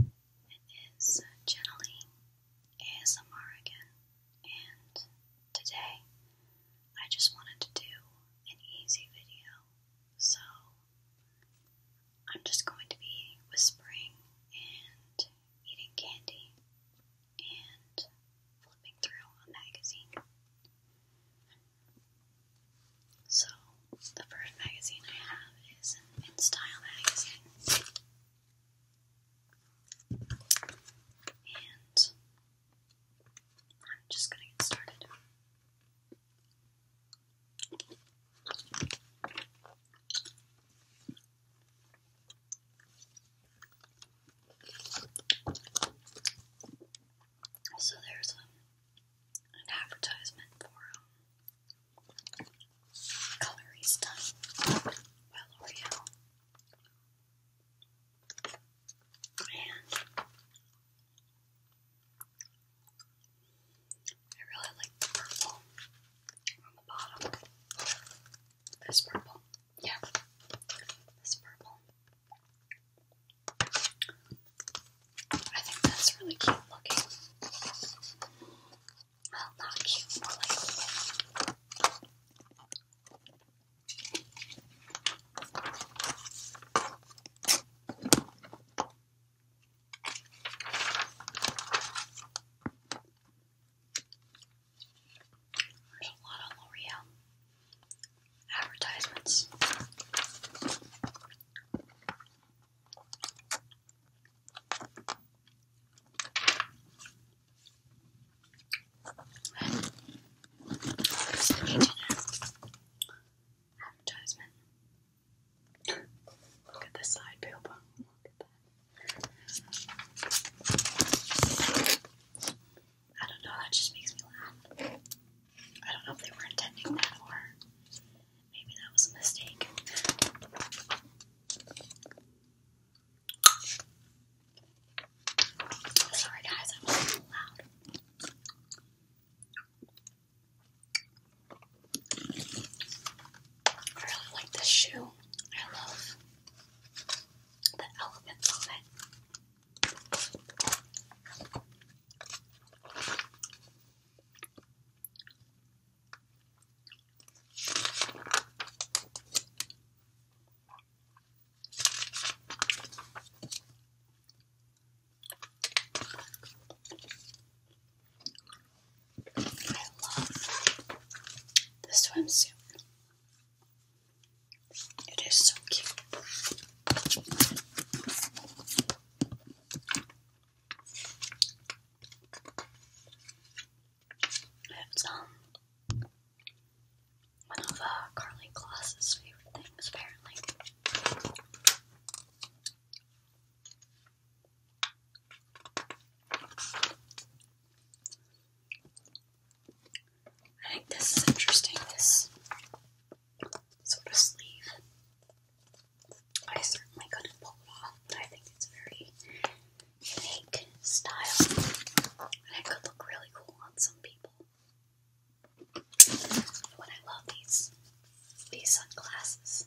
It is uh, Channeling ASMR again, and today I just wanted to do an easy video, so I'm just going to be whispering and eating candy and flipping through a magazine. So, the first magazine I have is an In Style magazine. And I'm just going to get started. So there's um, an advertisement for um, Colorista by L'Oreal. And I really like purple on the bottom. This purple. Yeah. This purple. I think that's really cute looking. Well, not cute, more like. There's a lot of L'Oreal advertisements advertisement. Look at the side pill I don't know, that just makes me laugh. I don't know if they were intending that or Maybe that was a mistake. Sorry guys, I was a loud. I really like this shoe. I love the elements of it. I love the swimsuit. It is so cute. It's um, one of uh, Carly favorite things, apparently. I think this is interesting, this sort of sleeve. I certainly could pull it off, I think it's a very unique style, and it could look really cool on some people. What I love these these sunglasses.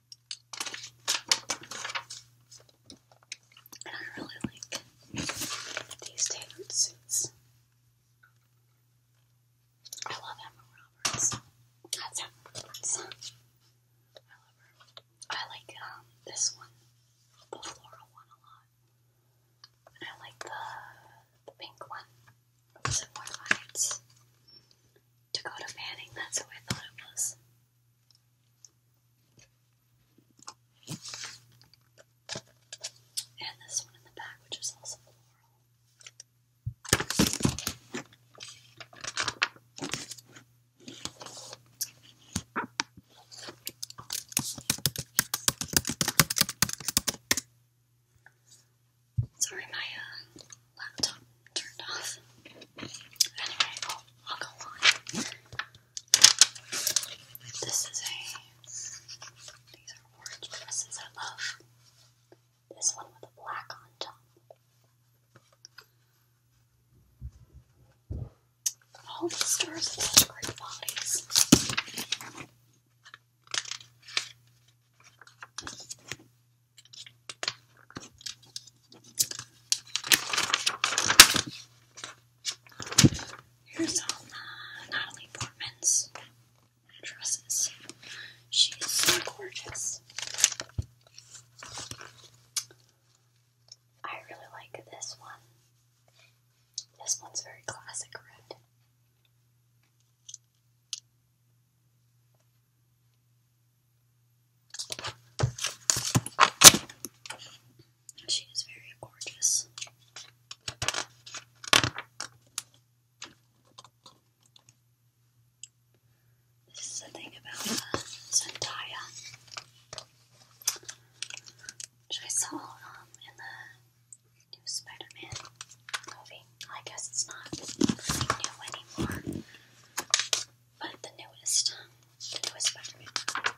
I really like these tailored suits. I love Emma Roberts. That's Emma Roberts. I like um, this one, uh, the floral one, a lot. I like uh, the, uh, the pink one. Some more lights. To go to Fanning, that's who I thought it was. And this one in the back, which is also floral. Sorry, my laptop turned off. Anyway, I'll go on. This is a. These are orange dresses I love. This one with a black on top. All these stores have great bodies. Here's Natalie Portman's dresses. She's so gorgeous. I really like this one. This one's very classic red. She is very gorgeous. This is the thing about uh, Zendaya, which I saw um, in the new Spider-Man movie. I guess it's not new anymore, but the newest, the newest spider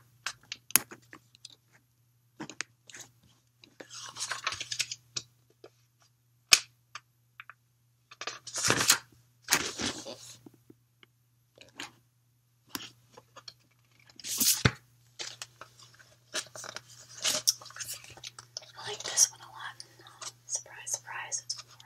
I like this one a lot. Surprise, surprise,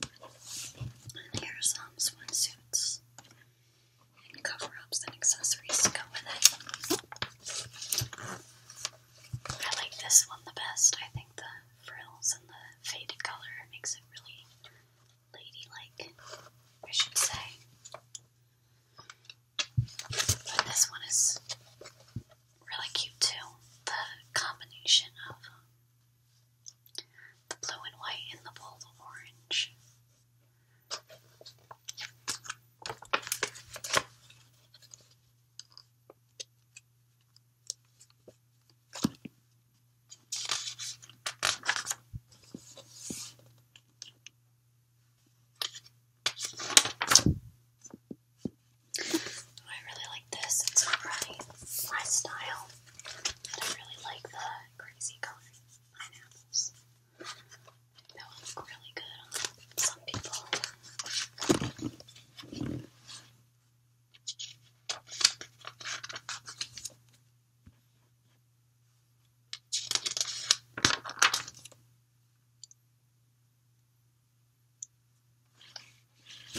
Here are some swimsuits and cover and accessories to go with it. I like this one the best. I think the frills and the faded color makes it really ladylike, I should say. But this one is really cute too. The combination of the blue and white and the bold orange. I really like this. It's really my style. I don't really like the crazy colored pineapples. That would really good on some people. I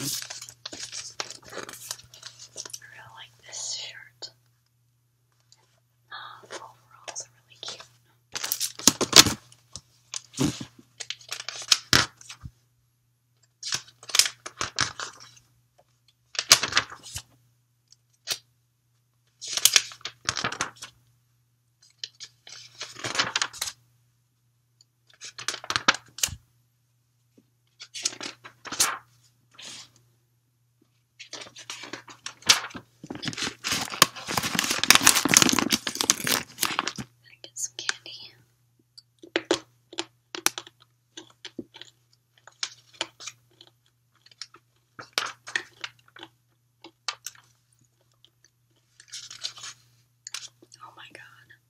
really like this shirt. Uh, overalls are really cute. I get some candy. Oh, my God,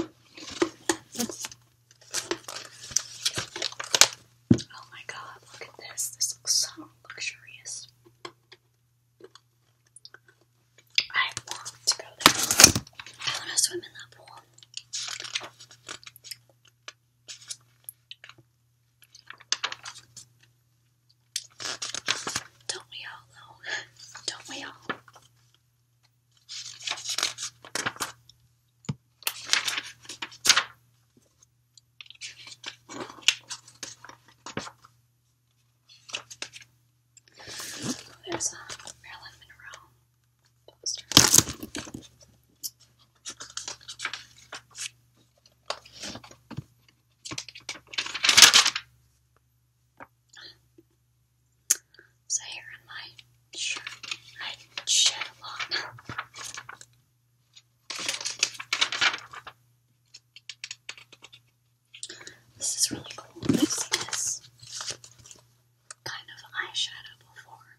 Oh my god, look at this. This looks so luxurious. I want to go there. I want to swim in that pool. Don't we all, Don't we all? There's a Marilyn Monroe poster. So here in my shirt, I shed a lot. This is really cool. this kind of eyeshadow before.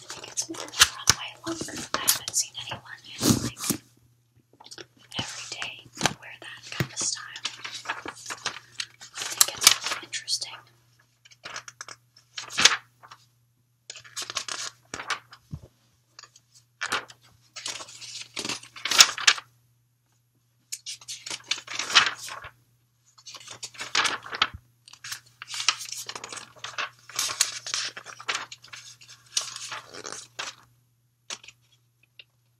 I think it's more from my lover. I haven't seen anyone in like every day wear that kind of style. I think it's interesting.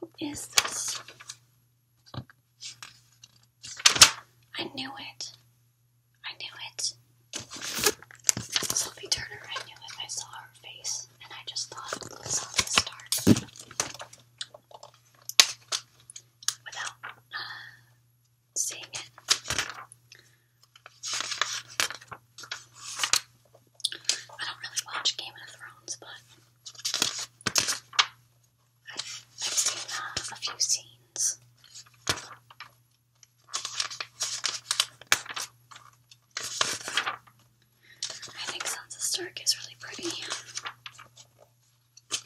Who is this? I knew it. I knew it. Sophie Turner, I knew it. I saw her face and I just thought, let's start. Without uh, seeing it. I don't really watch Game of Thrones, but I, have seen uh, a few scenes. I think Sansa Stark is really pretty. I'm done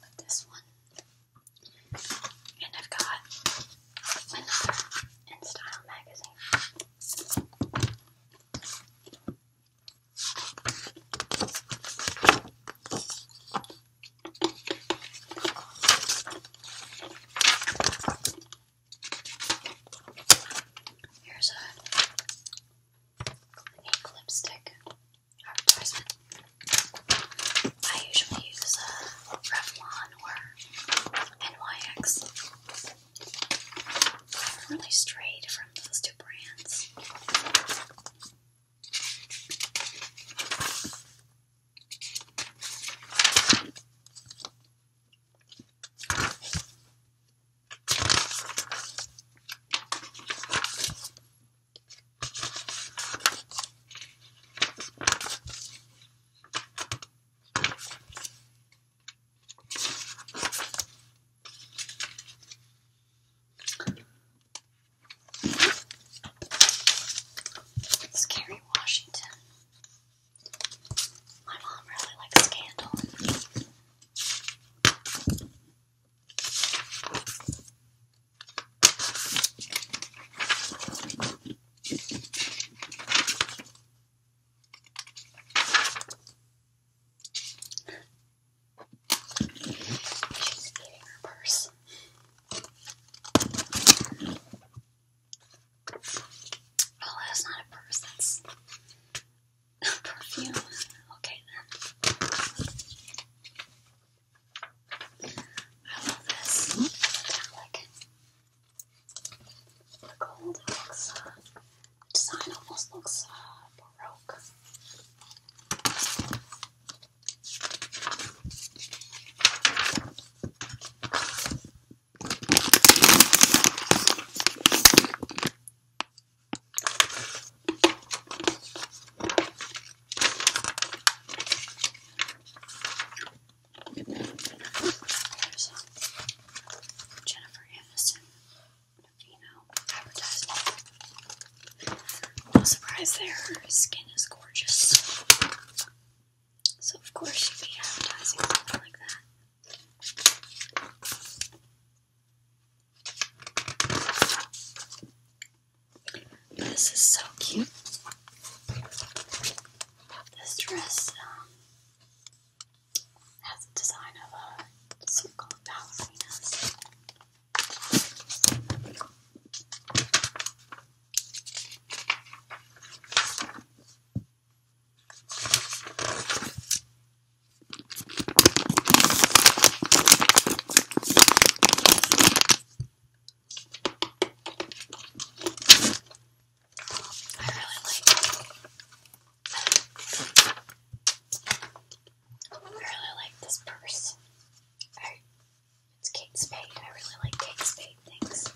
with this one. And I've got another InStyle magazine. Here's a lipstick advertisement. I usually use a Revlon or NYX really strayed from those two brands. Scary Washington. My mom really likes Scandal. She's eating her purse. Oh, that's not a purse, that's perfume. Okay, then. I love this the gold looks, design almost looks uh, baroque. Jennifer Aniston Navino advertisement. No surprise there, her skin is gorgeous. So of course she'd be advertising something like that. this is so cute. This dress, um, has a design of a circle of ballerinas. I really like I really like this purse. it's Kate Spade. I really like Kate Spade things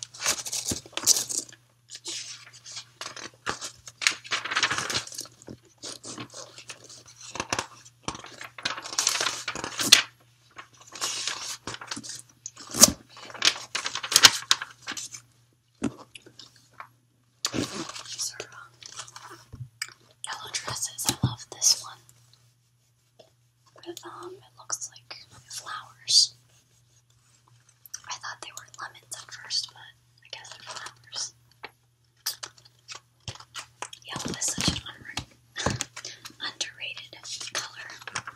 yellow dresses. I love this one. But, um, it looks like flowers. I thought they were lemons at first, but I guess they're flowers. Yellow is such an underrated color.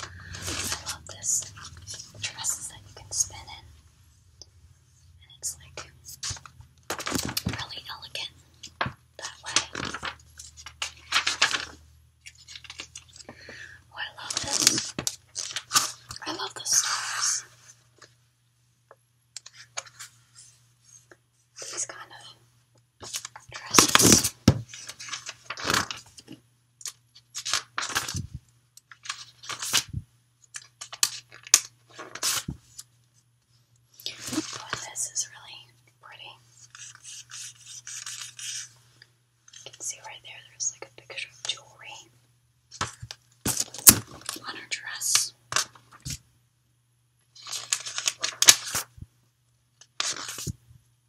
I love this dress that you can spin in. And it's like really elegant that way. Oh, I love this. I love the stars. These kind of dresses. But this is really pretty. You can see right there, there's like a picture of jewelry on her dress.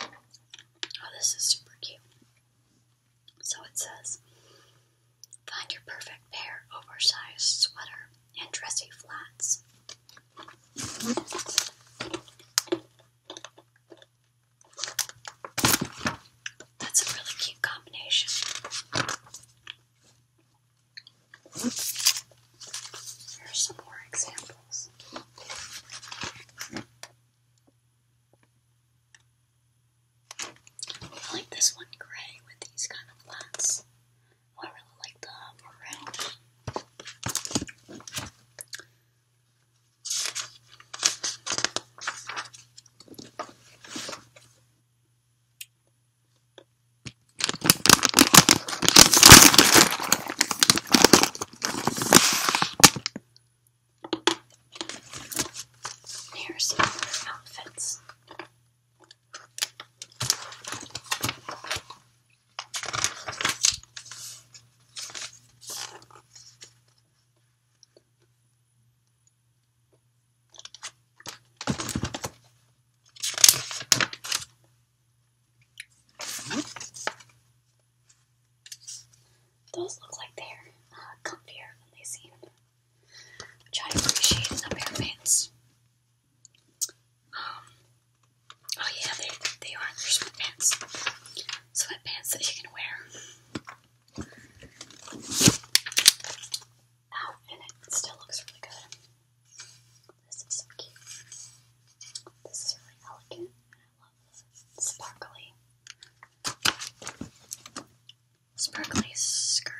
Oh, this is super cute. So it says Find your perfect pair oversized sweater and dressy flats. That's a really cute combination. Here some more examples. I like this one grey with these kind of flats. Oh, I really like the maroon. Here's some other outfits. Those look like they're uh, comfier than they seem, which I appreciate in a pair of pants. Um, oh yeah, they, they are, they're sweatpants. Sweatpants that you can wear. Oh, and it still looks really good. This is so cute. This is really elegant sparkly, sparkly skirt.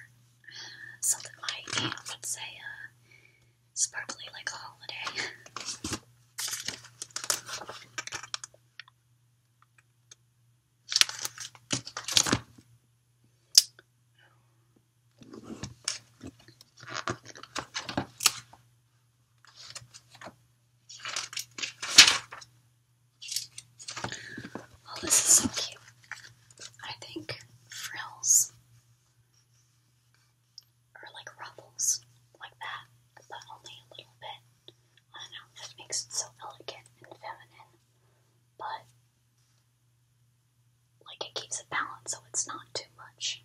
Something my aunt would say, uh, sparkly like a holiday. Oh, this is so cute. I think frills are like ruffles, like that, but only a little bit. I don't know, that makes it so elegant and feminine, but like it keeps a balance so it's not too much.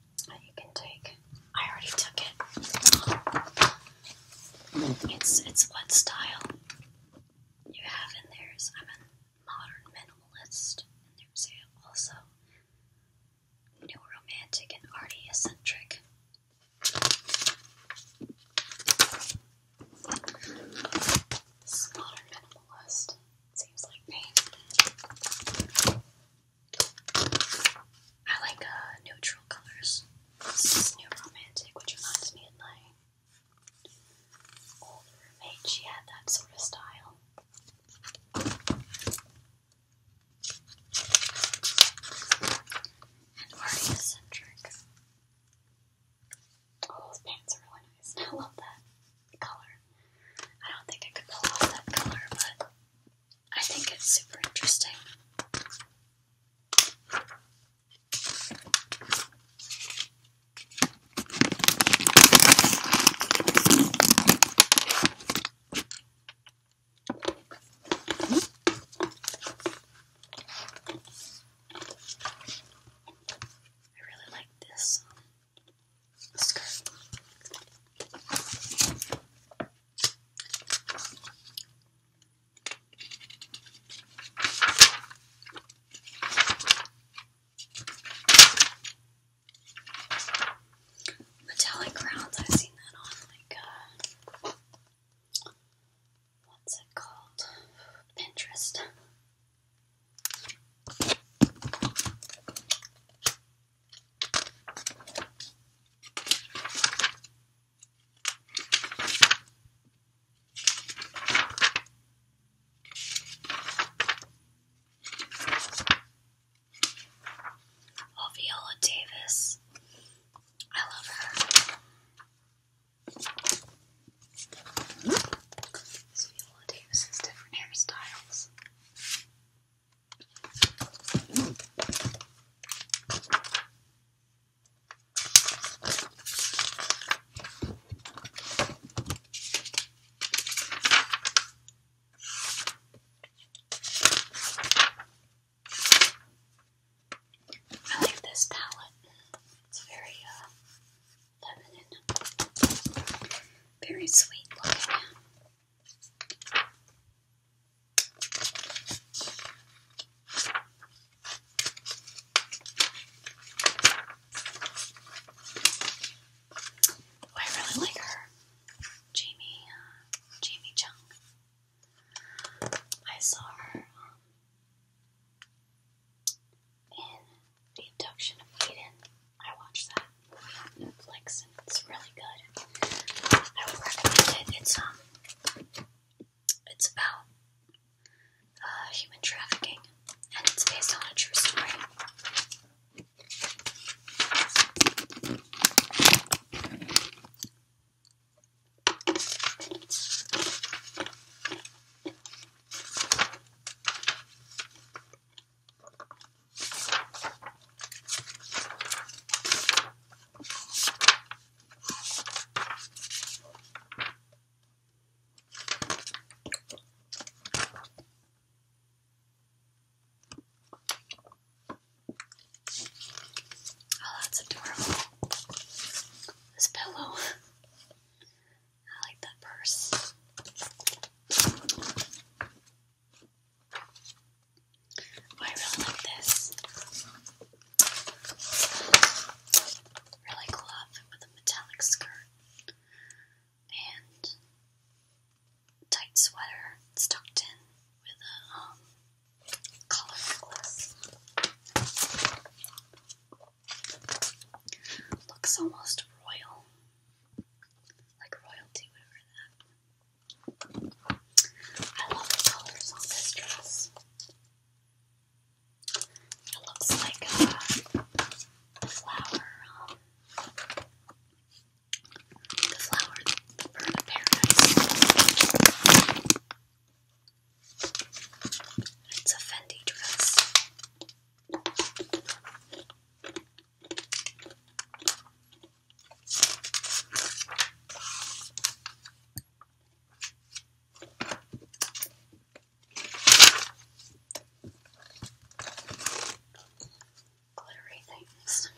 you can take. I already took it. It's it's what style you have in there I'm a modern minimalist, and there's also new romantic and arty eccentric. This modern minimalist seems like me. I like uh, neutral colors. This New Romantic, which reminds me of my old roommate. She had that sort of style. And Ari Eccentric. Oh, those pants are really nice. I love that color. I don't think I could pull off that color, but I think it's super interesting. I really like this skirt. Metallic crowns, I've seen that on like uh, what's it called? Pinterest. Oh, Davis. I love her. This Davis has different hairstyles. I like this palette. It's very uh, very sweet looking. Oh, I really like her. Jamie, uh, Jamie Chung. I saw her um, the Abduction of Eden. I watched that on Netflix and it's really good. I would recommend it. It's um it's about uh, human trafficking and it's based on a true story. Oh, that's adorable. This pillow. I like that purse. Oh, I really like this. Really cool outfit with a metallic skirt and tight sweater. tucked in with a um, collar necklace. Looks almost royal like royalty would that. I love the colors on this dress. It looks like uh, flower, um, the flower, the bird of paradise. It's a Fendi dress glittery things.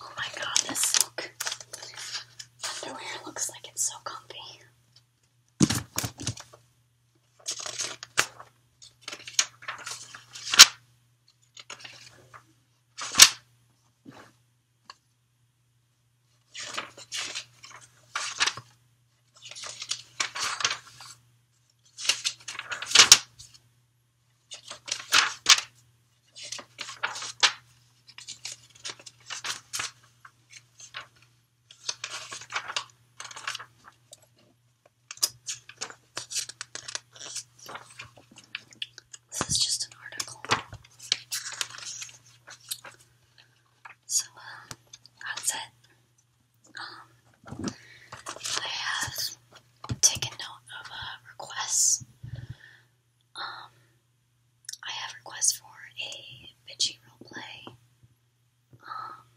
Oh my god, this silk underwear looks like it's so comfy. This is just an article so that's it. Um, I have taken note of requests. Um, I have requests for a bitchy roleplay. Um,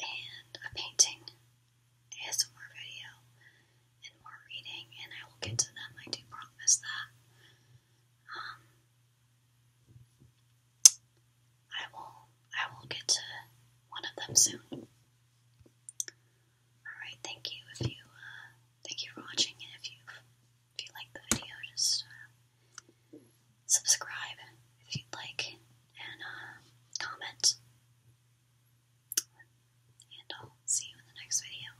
and a painting, ASMR video, and more reading, and I will get to them, I do promise that. I will I will get to one of them soon. Alright, thank you if you uh, thank you for watching and if you if you like the video just uh, subscribe if you'd like and uh, comment. And I'll see you in the next video.